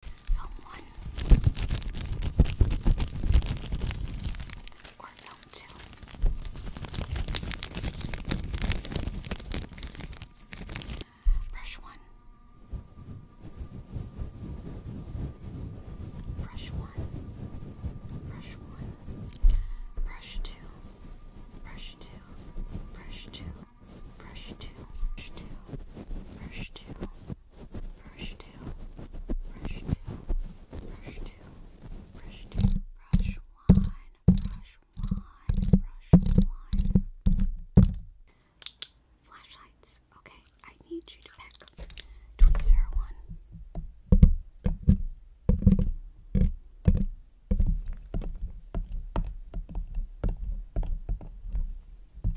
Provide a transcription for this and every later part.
Film one or film two. Brush one. Brush one. Brush one. Brush two. Brush two. Brush two brush two, brush two, brush two, brush two, brush two, brush two, brush two, brush one, brush one, brush one. Flashlights. Okay, I need you to pick tweezer one. Welcome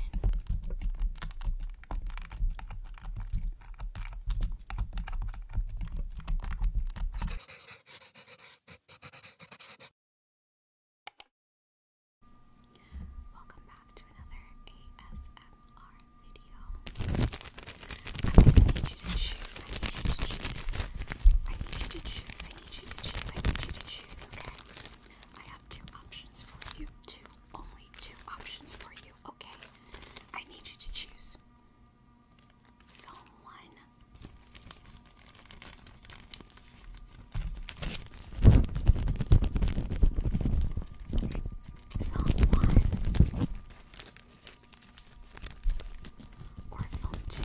back to another ASMR video. I need you to choose. I need you to choose. I need you to choose. I need you to choose. I need you to choose. Okay. I have two options for you. Two, only two options for you, okay? I need you to choose. Film one. Film one. Or film two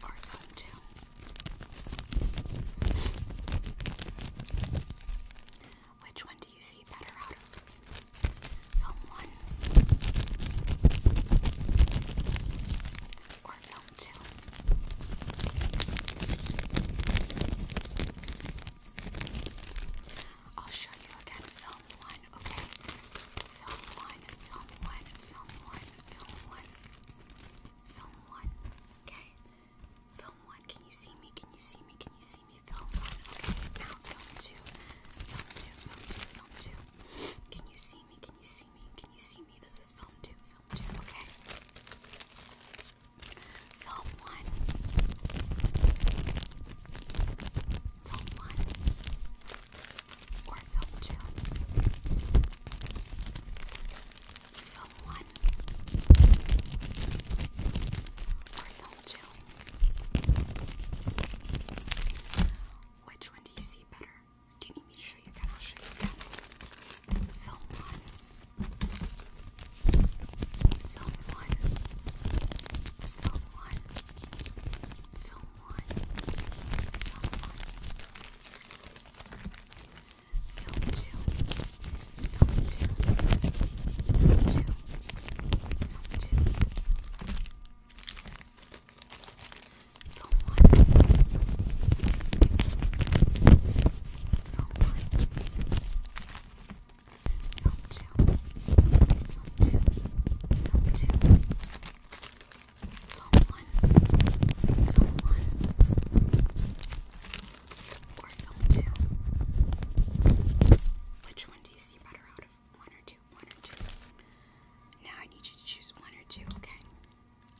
one or phone two. Which one do you see better out of? Film one or film two? I'll show you again. Film one, okay? Film one, film one, film one, film one, film one, okay? Film one. Can you see me? Can you see me? Can you see me? Film one, okay? Now film two, film two, film two, film two. Can you see me? Can you see me? Can you see me? This is film two, film two, okay? Film one. Film one. Or film two. Film one. Or film two. Which one do you see better? Do you need me to show you again? I'll show you again. Film one. Film one. Film one. Film one. Film one. Film two. Film two. Film two. Film two. Film one. Film phone one, phone two, phone two, phone two, phone one, phone one, or phone two. Which one do you see better out of one or two? One or two. Now I need you to choose one or two, okay?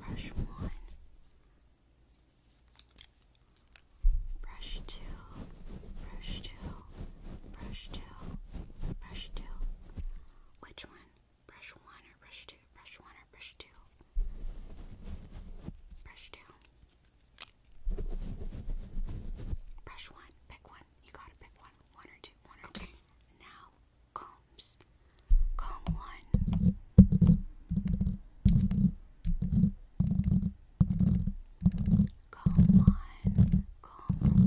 Brush one. Brush two, brush two, brush two, brush two. Which one? Brush one or brush two? Brush one or brush two? Brush two. Brush one. Pick one. You gotta pick one. One or two. One or two. Now Come, Comb one. Comb one. Comb one. Comb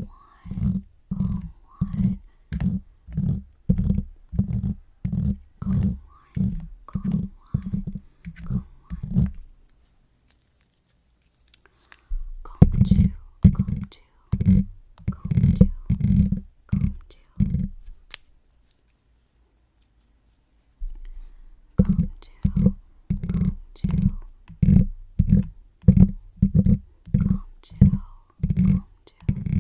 one. Comb one. Comb one. Comb one. Comb two to, comb to, comb to, comb to, comb to, comb to, comb to, comb to.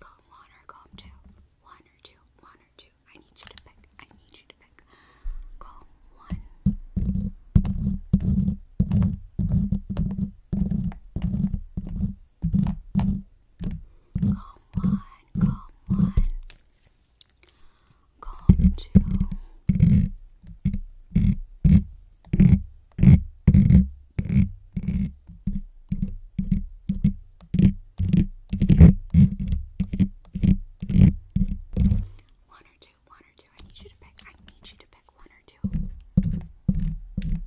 Comb one or comb two, one or two, one or two, I need you to pick. I need you to pick. Call one. Call one. Call one. Call two. One or two, one or two. I need you to pick. I need you to pick one or two.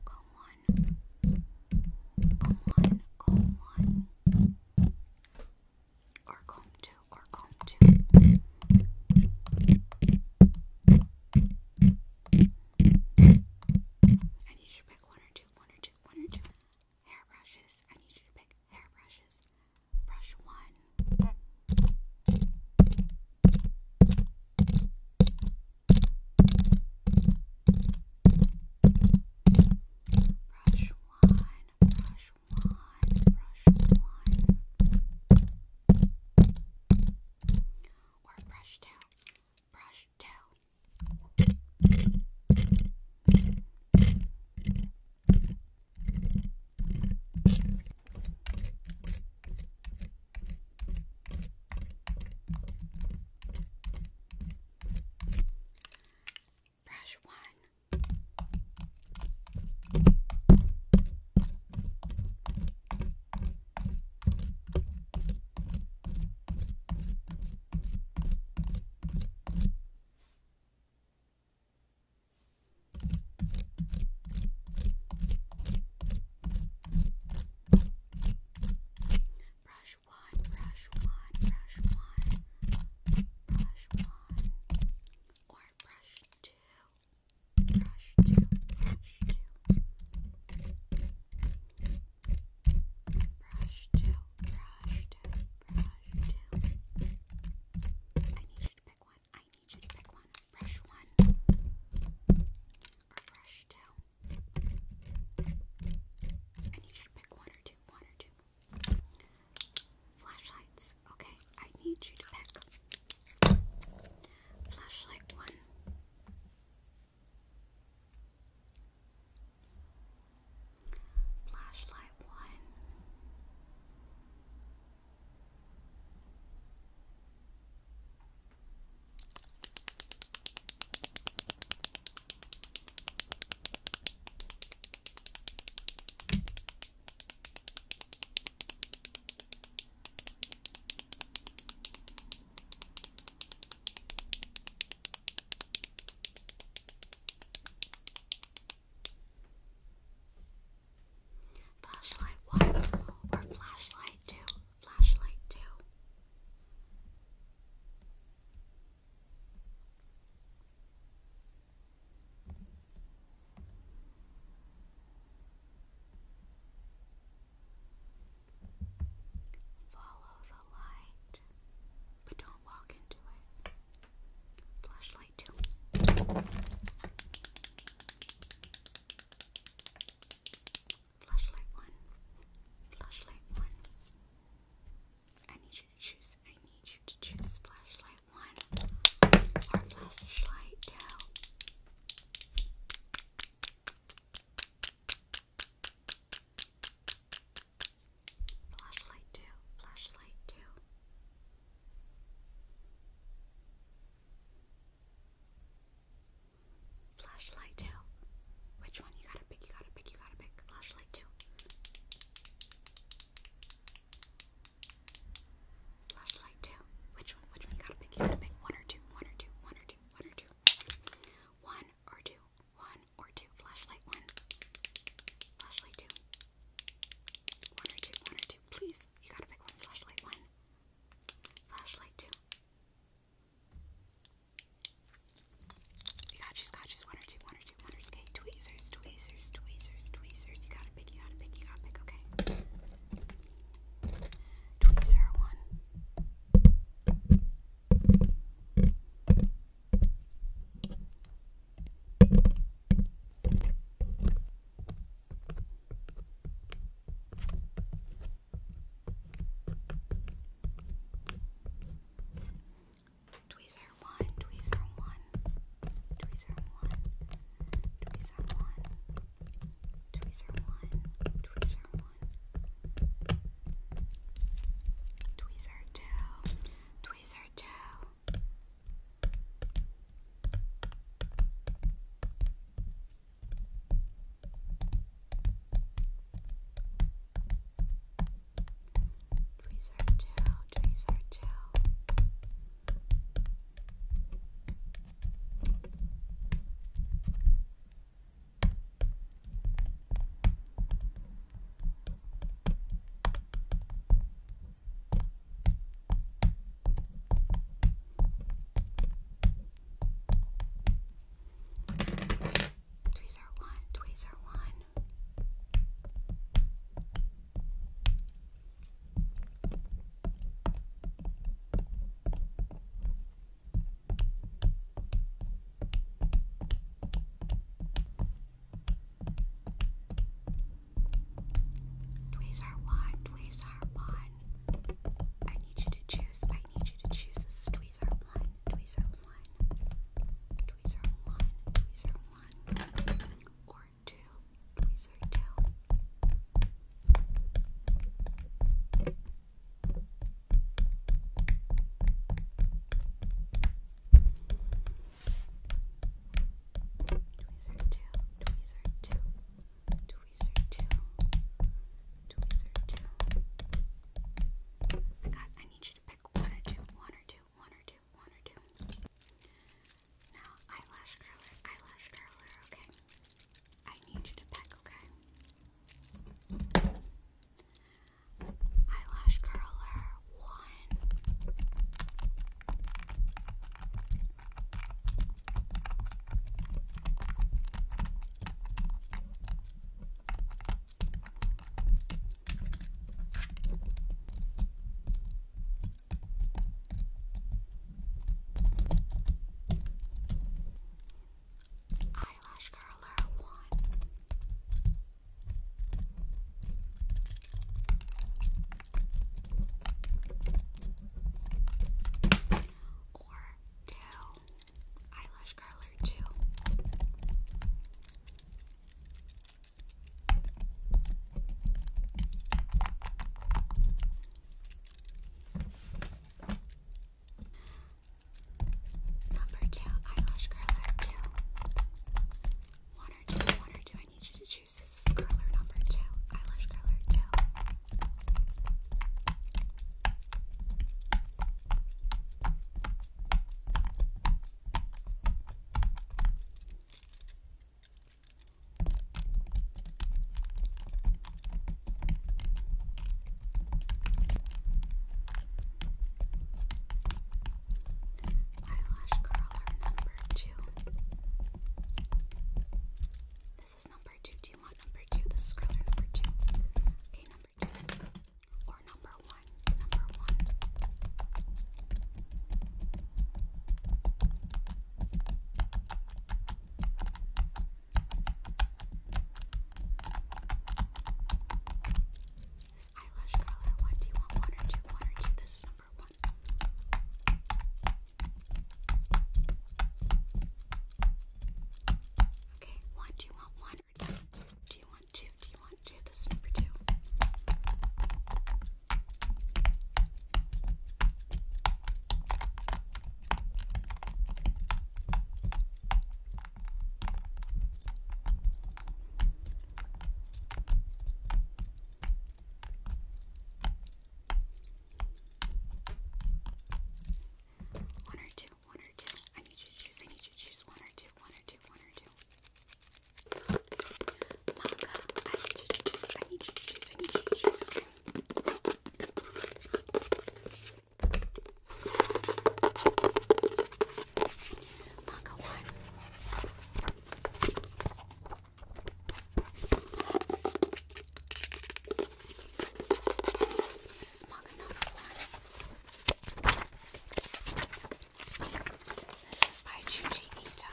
Call one. Call one. Call one. Or comb two. Or comb two. I need you to pick one or two, one or two, one or two hairbrushes. I need you to pick hairbrushes, brush one. Brush one, brush one, brush one. Or brush two, brush two. Brush Brush one. Brush one, brush one, brush one, brush one, or brush two, brush two, brush two, brush two, brush brush two, brush two. I need you to pick one. I need you to pick one. Brush one or brush two. I need you to pick one or two, one or two. Flashlights. Okay, I need you to pick flashlight one. Flashlight one. Flashlight one or flashlight two? Flashlight two. Follows but don't walk into it. Flashlight, too. Flashlight one. Flashlight one. I need you to choose. I need you to choose flashlight one or flashlight two. Flashlight two, flashlight two. Flashlight two. Which one you gotta pick, you gotta pick, you gotta pick. Flashlight two. Flashlight two. Which one? Which one you gotta pick? You gotta pick one or two, one or two, one or two, one or two. One or two. One or two. Flashlight one. Flashlight two. One or two. One or two. Please. You gotta pick one. Flashlight one. Flashlight two. You got you got just one or two, one or two, one or two. Okay, tweezers, tweezers, tweezers, tweezers. You gotta pick, you gotta pick, you gotta pick, okay. Tweezer one. Tweezer one, tweezer one, tweezer one, tweezer one, tweezer one, tweezer one one. Tweezer two. Tweezer two. Tweezer two. Tweezer two. Tweezer one, tweezer one. Tweezer one, tweezer one. I need you to choose. I need you to choose. This is tweezer one, tweezer one, tweezer one, tweezer one, or two, tweezer two. Tweezer two, tweezer two, tweezer two, tweezer two. God, I need you to pick one or two, one or two, one or two, one or two. Now, eyelash curler, eyelash curler, okay? I need you to pick, okay? Eyelash curler one. Eyelash curler one. Or two. Eyelash curler two. Number two, eyelash curler two. One or two, one or two. I need you to choose this curler number two. Eyelash curler two. Eyelash curler number two. This is number two. Do you want number two? This curler number two. Okay, number two. Or number one. Number one. This eyelash curler, what do you want? One or two? One or two? This is number one. Okay, one, do you want one or two? Do you want two? Do you want two? This number two. One or two, one or two. I need you to choose, I need you to choose one or two, one or two, one or two. Manga, I need you to choose, I need you to choose, I need you to choose, okay? Manga one. This is manga number one. This is by Chuji Ito.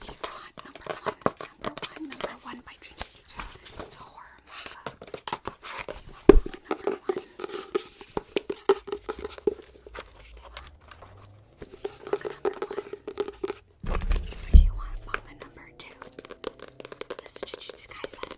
Do you want number one? number one, number one by Jujutsu. It's a horror Number one. If you want number two, this is Jujutsu Kaisen.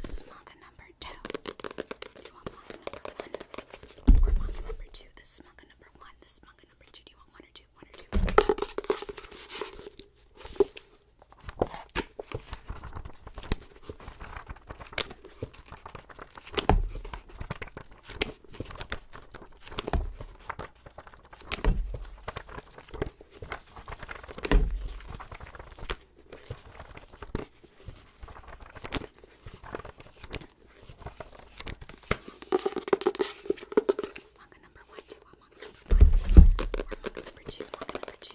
This is manga number two. Do you want manga number one or manga number two? This is manga number one. This is manga number two. Do you want one or two? One or two. Manga number one, two, manga number one, or manga number two, manga number two.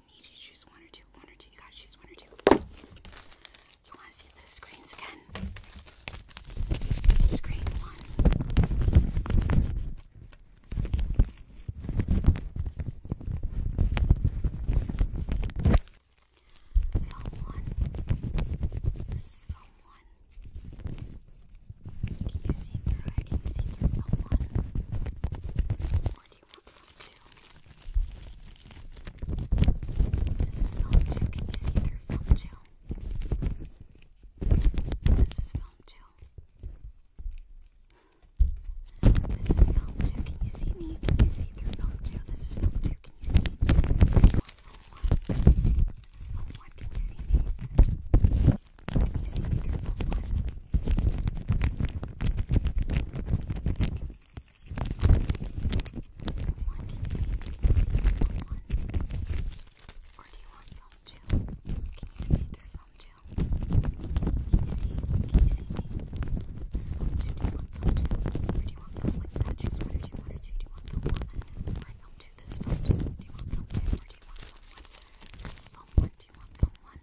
need to choose one or two. One or two. You gotta choose one or two. You wanna see the screens again? Screen one. Film one. This is film one. Can you see through it? Can you see through film one? do you want that too? This is film too. Can you see through film too? This is film too. This is film too. Can you see me? Can you see through film too? This is film too. Can you see? Film one. This is film one. Can you see me? Can you see me through film one? One, can you see, can you see through film one? Or do you want film two? Can you see through film two? Can you see, can you see me? This film two, do you want film two? Or do you want film one? You gotta choose one or two, one or two. Do you want film one? Or film two, this film two? Do you want film two? Or do you want film one? This film one, do you want film one?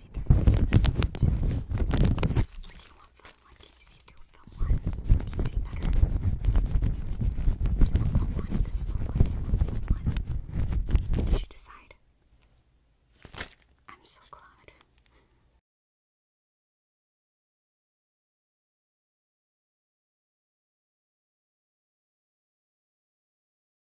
easy to film two. Or do you want film one easy to film one? Easy better. Do you want film one? This film one? Do you want film one? Did you decide? I'm so glad.